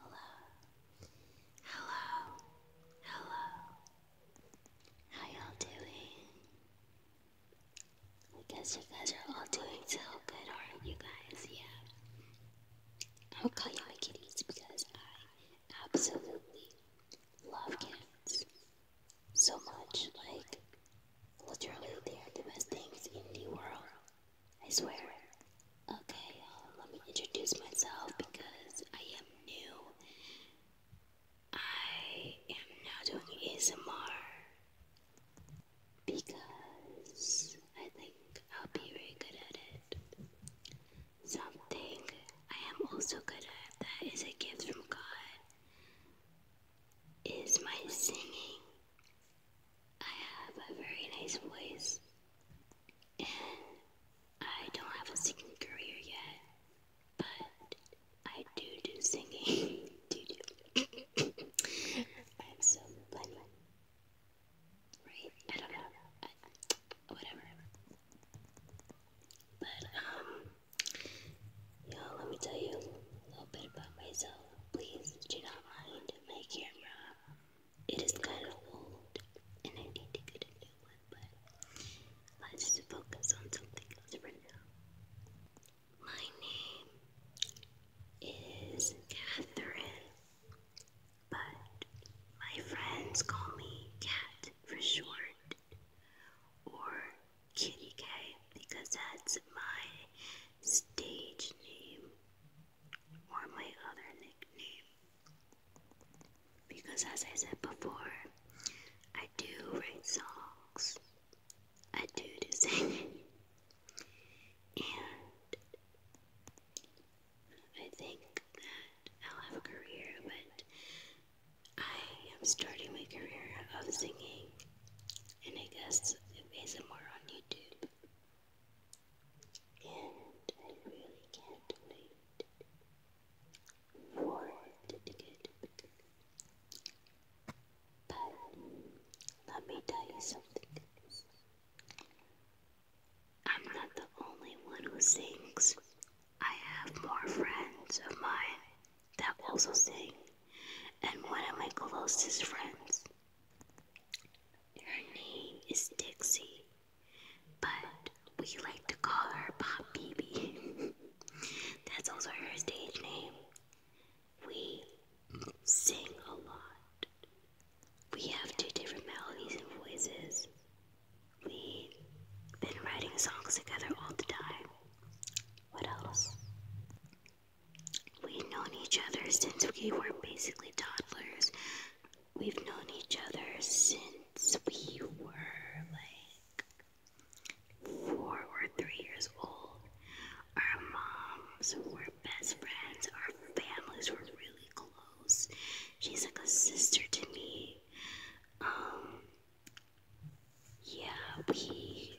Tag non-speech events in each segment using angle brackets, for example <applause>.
Hello. Hello. Hello. How y'all doing? I guess you guys are all doing so good, aren't you guys? Yeah. I'll call y'all kitties because I absolutely love cats so much. Like, literally, they are the best things in the world. I swear. Okay, let me introduce myself because I am new. I am now doing ASMR because I think I'll be very good at it. Something I am also good at that is a gift from God is my singing. I have a very nice voice, and I don't have a singing career yet, but I do do singing. <laughs> <laughs> I'm so blind, right? I don't know. whatever. But um, you let me tell you a bit about myself. Please do not mind my camera. It is kind of old and I need to get a new one, but let's focus on something else right now. My name is Catherine, but my friends call me Cat for short or Kitty Cat because that's my stage name or my other nickname. Because, as I said before, I do write songs, I do, do sing, and I think that I'll have a career, but I am starting my career of singing and I guess of ASMR on YouTube. And I really can't wait for it to get But let me tell you something. I'm not the only one who sings. I have more friends of mine that also sing and one of my closest friends. Her name is Dixie, but we like to call her Pop Baby. <laughs> That's also her stage name. We sing a lot. We have two different melodies and voices. We've been writing songs together all the time. What else? We've known each other since we were basically toddlers. We've known each other since we were like four or three years old. Our moms were best friends. Our families were really close. She's like a sister to me. Um, yeah, we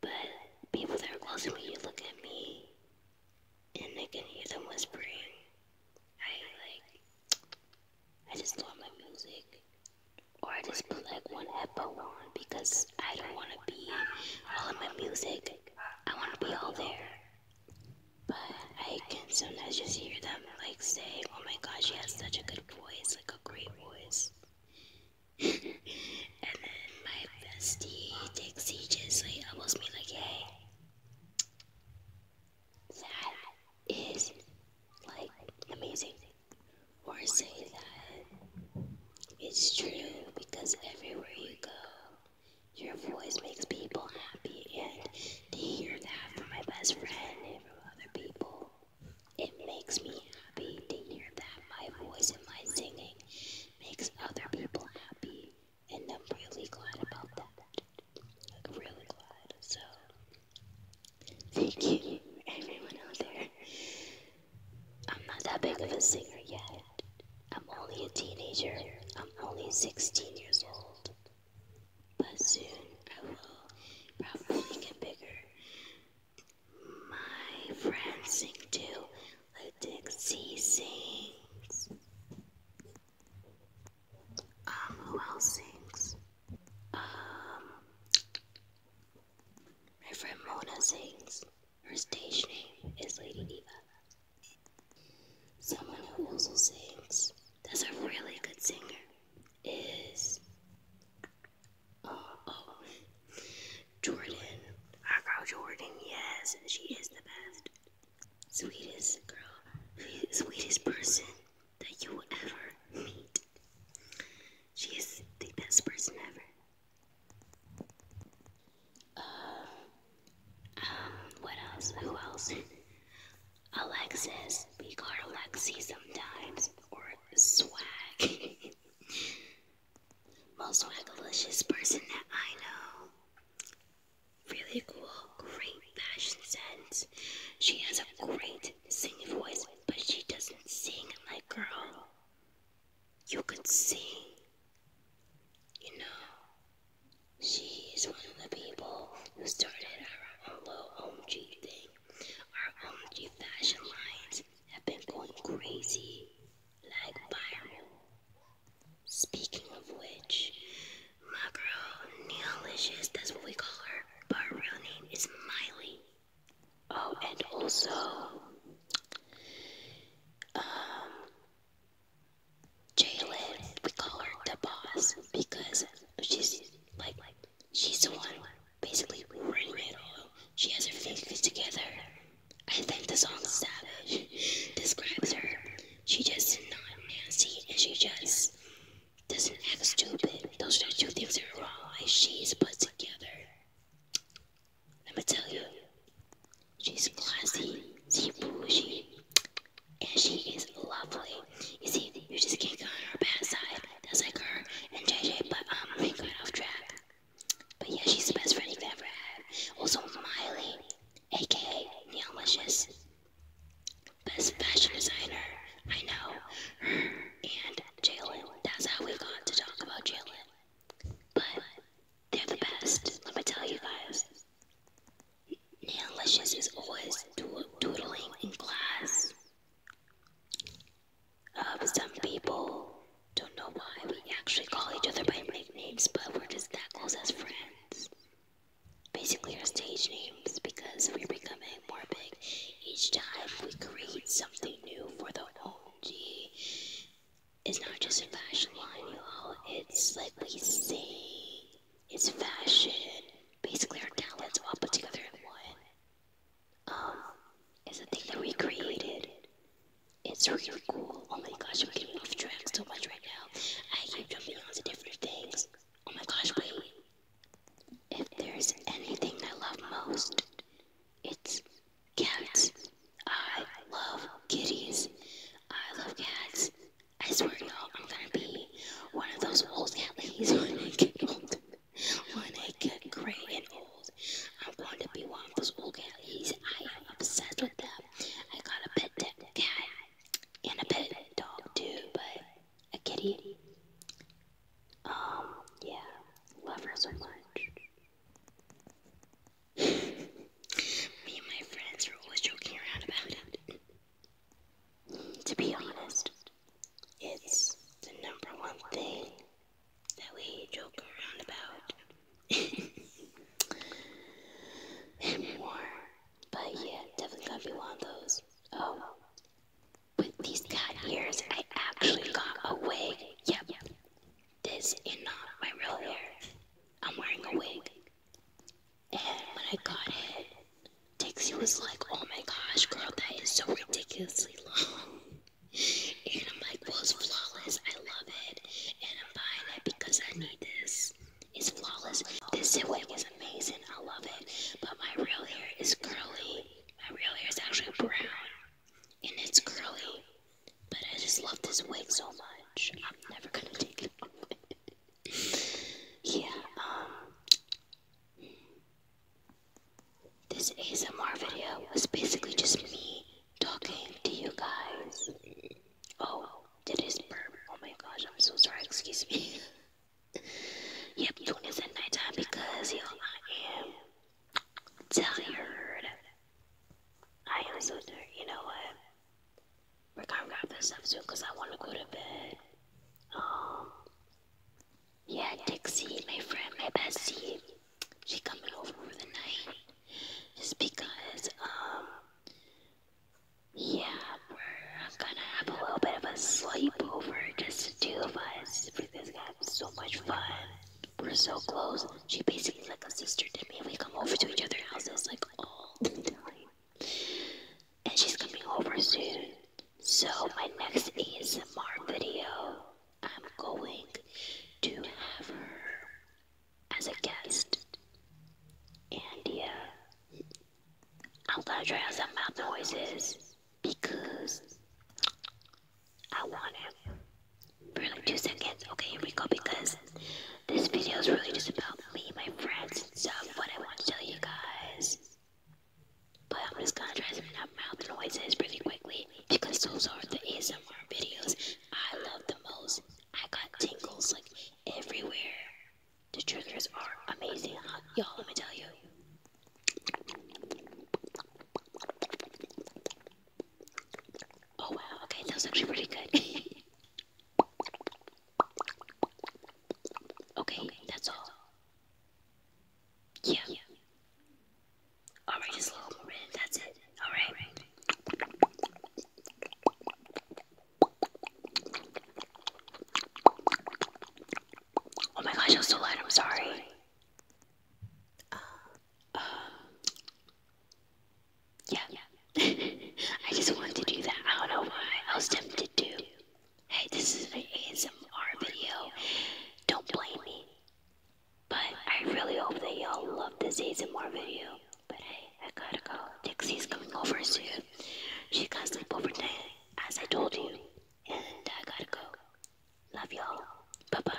But people that are close to me you look at me and they can hear them whispering. I like, I just love my music. Or I just put like one headphone on because I don't want to be all of my music. I want to be all there. But I can sometimes just hear them like say, oh my gosh, she has such a good voice, like a great voice and then my bestie Dixie just like elbows me like, hey, that is like amazing. Or say that it's true because everywhere you go, your voice makes people happy and they hear that from my best friend and from other people. It makes me happy to hear that my voice and my singing makes other people happy, and I'm really glad about that. Like, really glad. So, thank you, everyone out there. I'm not that big of a singer yet. I'm only a teenager. I'm only 16 years old. But soon I will probably get bigger. My friends sing too, like Dixie sings. Um, who else sings? Um, my friend Mona sings. Her stage name is Lady Diva. Someone who also sings, that's a really good singer, is Oh, Jordan. Our girl Jordan, yes, she is the best. Sweetest girl. Sweetest person that you will ever meet. She is the best person ever. Uh, um, what else? Who else? Alexis. We call her sometimes, or word swag. <laughs> Most swagalicious person that I know. Really cool, great fashion sense. She has a great singing voice, but she doesn't sing like girl. You could sing. You know, she one of the people who started our Hello OMG thing. Our OMG fashion lines have been going crazy, like viral. Speaking of which, my girl, Neolicious, that's what we call her, but her real name is Miley. Oh, and also, um, Jalen, we call her the boss because she's like She's the one basically running it all. She has her fingers together. I think the song Savage describes her. She just not nasty and she just doesn't act stupid. Those are two things that are wrong. Like she's put together. Let me tell you, she's classy, she's bougie, and she is lovely. You see, you just can't go on her bad side. That's like her and JJ, but um, they got off track. But yeah, she's the best friend you've ever had. Also, Miley, aka Neon Licious, best fashion designer. I know and Jalen. That's how we got to talk about Jalen. But they're the best. Let me tell you guys. Neon Licious is always doodling in class of some people. Don't know why we actually call each other by nicknames, but we're just that close as friends. Basically, our stage names because we're becoming more big each time we create something new for the OMG. It's not just a fashion line, y'all. It's like we see. it's fashion. Basically, our talents all put together um, is a thing that we created. It's really cool. Oh my gosh, I'm getting off track so much right now. I keep jumping onto different things. Oh my gosh, wait. If there's anything I love most, it's cats. I love kitties. I love cats. I swear, y'all, I'm gonna be one of those old cat ladies <laughs> when I get old. When I get gray and old, I'm going to be one of those old ladies. I am obsessed with them. I got a pet cat and a pet dog too, but a kitty. Um, yeah, love her so much. <laughs> Me and my friends are always joking around about it. to be honest, it's the number one thing that we joke around about. <laughs> more. But yeah, definitely gotta be one of those. Oh. With these cat ears, I actually got a wig. Yep. This is not uh, my real hair. I'm wearing a wig. And when I got it, Dixie was like, oh my gosh, girl, that is so ridiculously long. And I'm like, well, it's flawless. I love it. And I'm buying it because I need this. It's flawless. This wig is amazing. I love it. But my real hair is curly. My real hair is actually brown. And it's curly. But I just love this wig so much. I'm never going to take it off. <laughs> yeah, um, this ASMR video was basically just me talking to you guys. Oh, did his burp? Oh my gosh, I'm so sorry, excuse me. <laughs> yep, doing this at nighttime because, y'all, I am tired. I am so tired. You know what? We're gonna wrap this up soon because I want to go to bed. Um, yeah, Dixie, my friend, my bestie, she coming over for the night. Just because, um, yeah, we're gonna have a little bit of a sleepover, just the two of us. We're gonna have so much fun. We're so close. She basically like a sister to me. We come over to each other's houses like all the time and she's coming over soon. So my next ASMR video, I'm going to have her as a guest. And yeah, I'm gonna try out some mouth noises because I want it for like two seconds. Okay, here we go because this video is really just about me, my friends and stuff, but I want to tell you guys but I'm just gonna try to some mouth noises pretty quickly because those are the ASMR videos I love the most. I got tingles like everywhere. The triggers are amazing, Y'all, let me tell you. Oh wow, okay, that was actually pretty good. <laughs> okay, that's all. Yeah. yeah. Alright, just a little more in. That's it. Alright. Oh my gosh, I was so loud. I'm sorry. yeah. <laughs> I just wanted to do that. I don't know why. I was tempted to. Hey, this is an ASMR video. Don't blame me. But I really hope that y'all love this ASMR video. But hey, I gotta go. Dixie's coming over soon. She got sleep overnight, as I told you. And I gotta go. Love y'all. Bye bye.